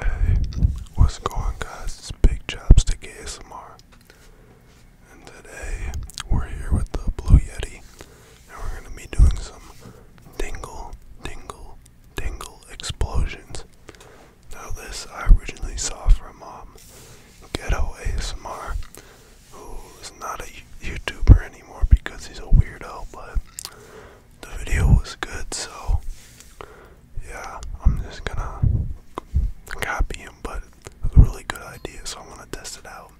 Hey, what's going guys? It's Big Chopstick ASMR. And today we're here with the Blue Yeti and we're gonna be doing some dingle, dingle, dingle explosions. Now this I originally saw from Mom um, Ghetto ASMR, who is not a YouTuber anymore because he's a weirdo, but the video was good, so yeah, I'm just gonna copy him, but it's a really good idea, so I'm gonna test it out.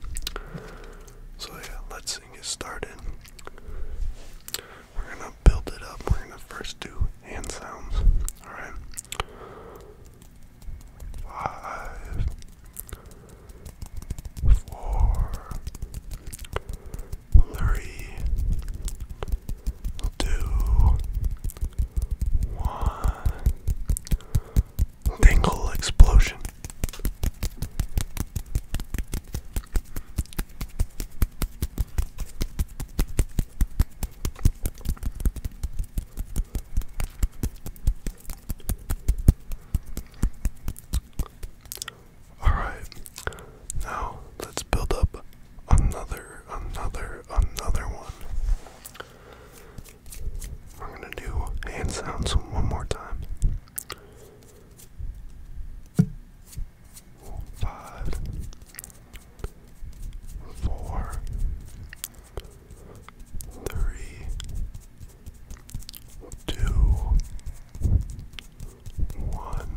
So yeah, let's get started. We're gonna build it up. We're gonna first do hand sounds. Alright. Five, four, three, two, one. Dingle explosion. Alright. Now let's build up another, another, another one. We're gonna do hand sounds one more time. Five, four, three, two, one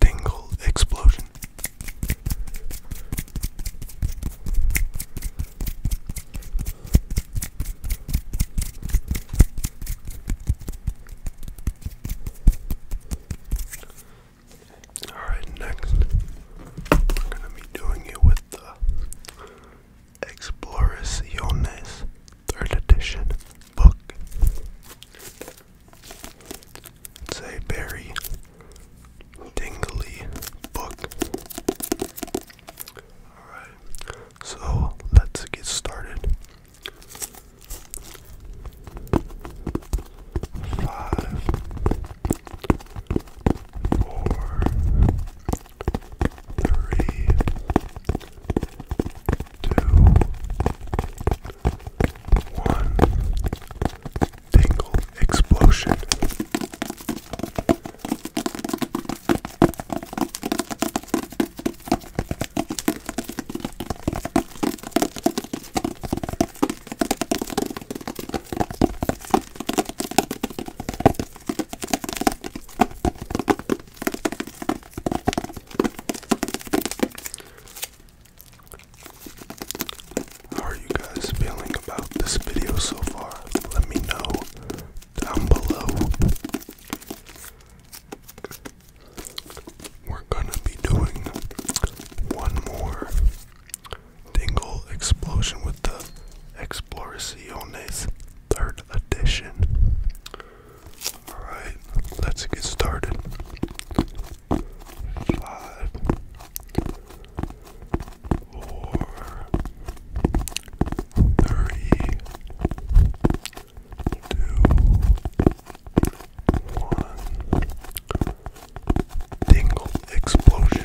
tingle explosion. All right, next we're gonna be doing it with the Exploraciones, third edition book. It's a very tingly book. Alright, so let's get started. Five, four, three, two, one. Tingle explosion. How are you guys feeling about this video so far? Let me know down below. We're gonna be doing one more Dingle explosion with the Exploraciones third edition. Alright, let's get started. Five, four, three, two, one. Dingle explosion.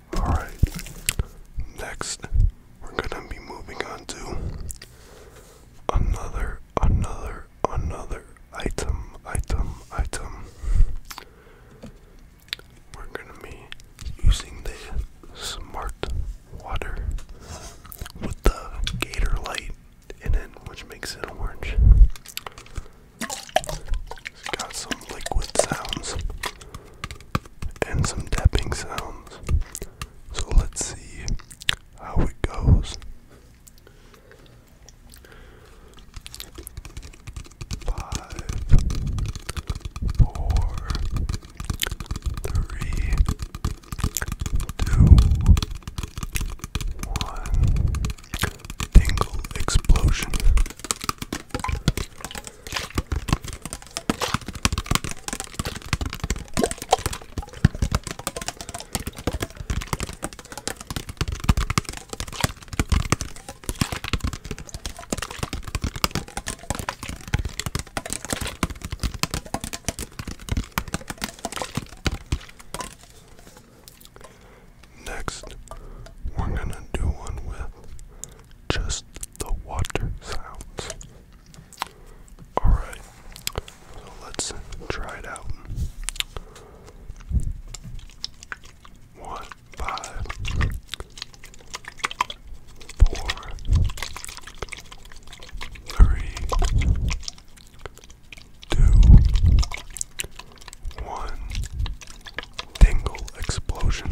Alright, next we're gonna be moving on to another, another, another item, item, item. We're gonna be using the smart water with the gator light in it, which makes it orange. It's got some liquid sounds and some tapping sounds. So let's see how it goes. Five, four, three, two, one. Tingle explosion. Next, we're going to do one with just the water sounds. Alright, so let's try it out. One, five, four, three, two, one, tingle explosion.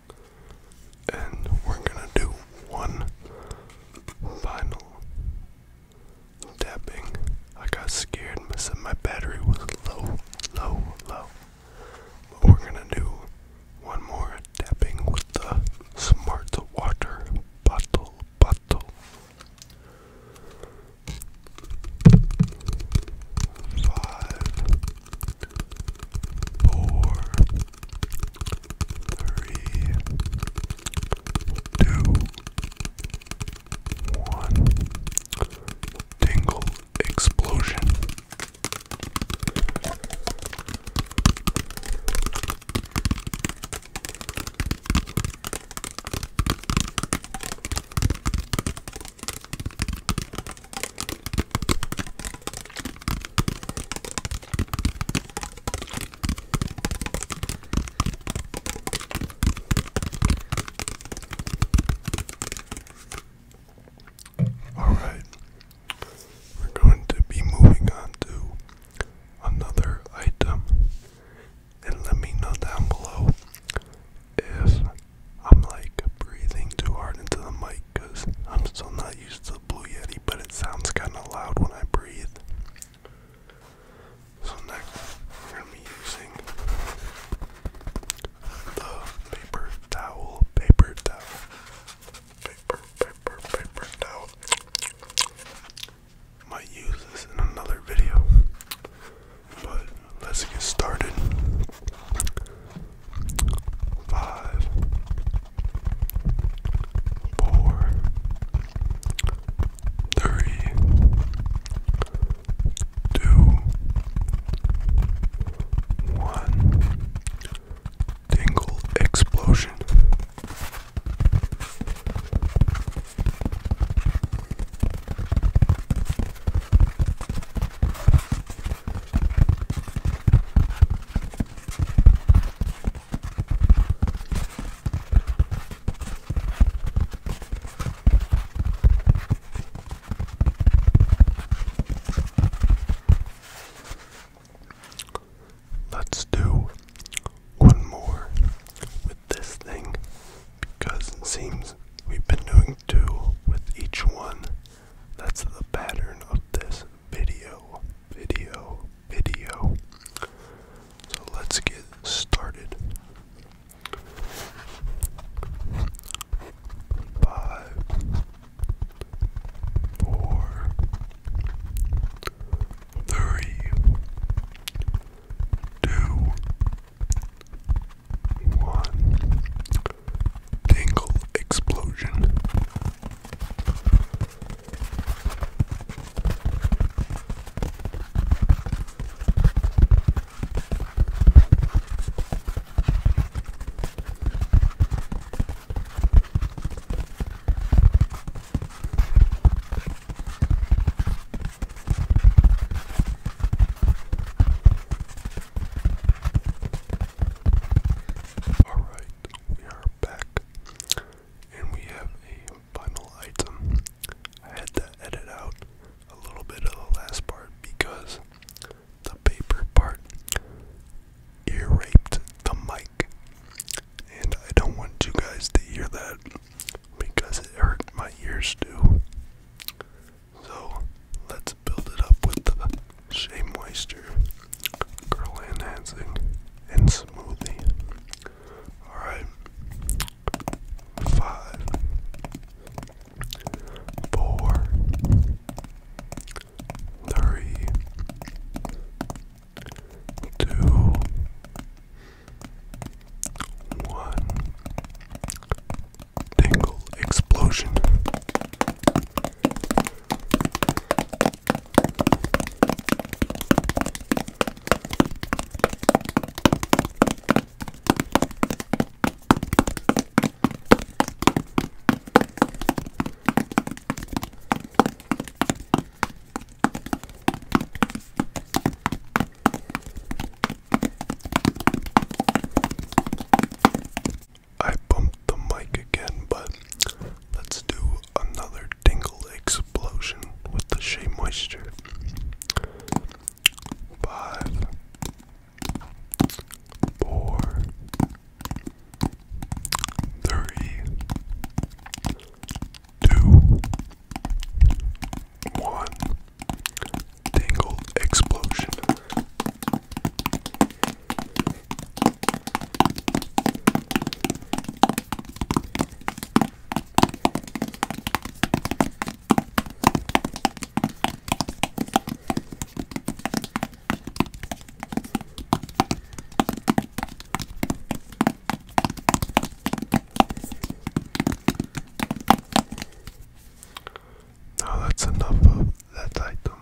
And we're gonna do one final tapping. I got scared, I my battery was low, low, low. But we're gonna do one more tapping with the smart water bottle, bottle. Five, four, three, two, one. Tingle explosion. Alright, we're going to be moving on to another item, and let me know down below if I'm like breathing too hard into the mic because I'm still not used to the Blue Yeti, but it sounds kind of loud when I breathe. So next, we're gonna be using the paper towel, paper towel, paper, paper, paper towel. Might use this in another video, but let's get started. Five, four, three, two, one. Tingle explosion. Let's do one more with this thing because it seems we've been doing do with each one. That's the pattern of this video. Video, video. So let's get started. Five, four, three, two, one. Tingle explosion. Alright, we are back. And we have a final item. I had to edit out a little bit of the last part because the paper part ear raped the mic. And I don't want you guys to hear that because it hurt my ears too. So let's build it up with the Shea Moisture Curl Enhancing and Smoothie. Alright. Five, four, three, two, one. Tingle explosion. I bumped the mic again, but let's do another tingle explosion with the Shea Moisture. Five, four, three, two, one. Tangled Explosion. Now that's enough of that item.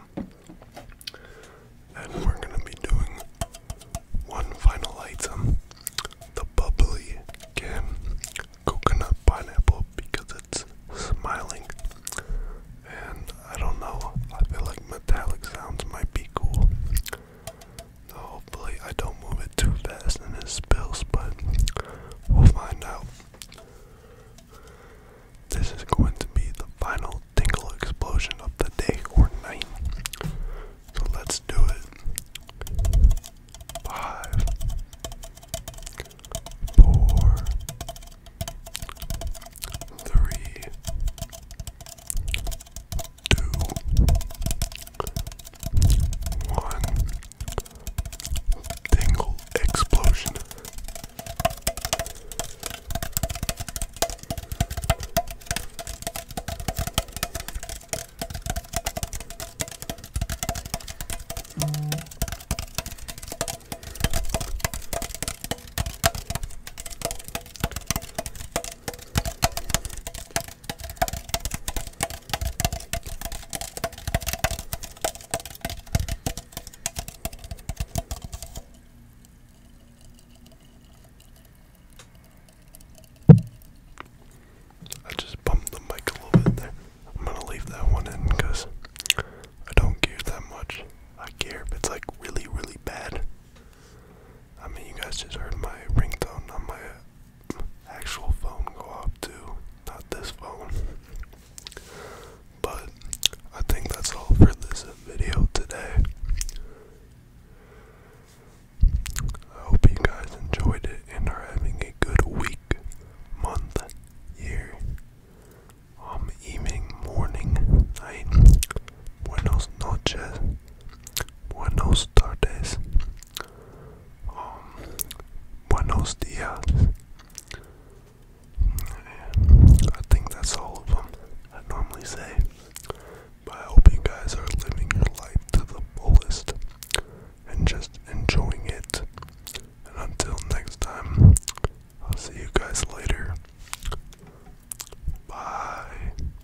And we're going to be doing one final item the bubbly can coconut pineapple because it's smiling. And I don't know, I feel like metallic sounds might be cool. Hopefully, I don't move it too fast and it spills, but we'll find out. This is going to be the final tingle explosion of the day or night. So let's do it. Five, four, three, two, one, tingle explosion. I just bumped the mic a little bit there. I'm gonna leave that one in because I don't care that much. I care if it's like really, really bad. I mean, you guys just heard my ringtone on my head actual phone go off too, not this phone. But I think that's all for this video today. I hope you guys enjoyed it and are having a good week, month, year, I'm um, evening, morning, night, buenos noches. Buenos tardes. Um, buenos dias. I think that's all of them I normally say. But I hope you guys are living your life to the fullest and just enjoying it. And until next time, I'll see you guys later. Bye.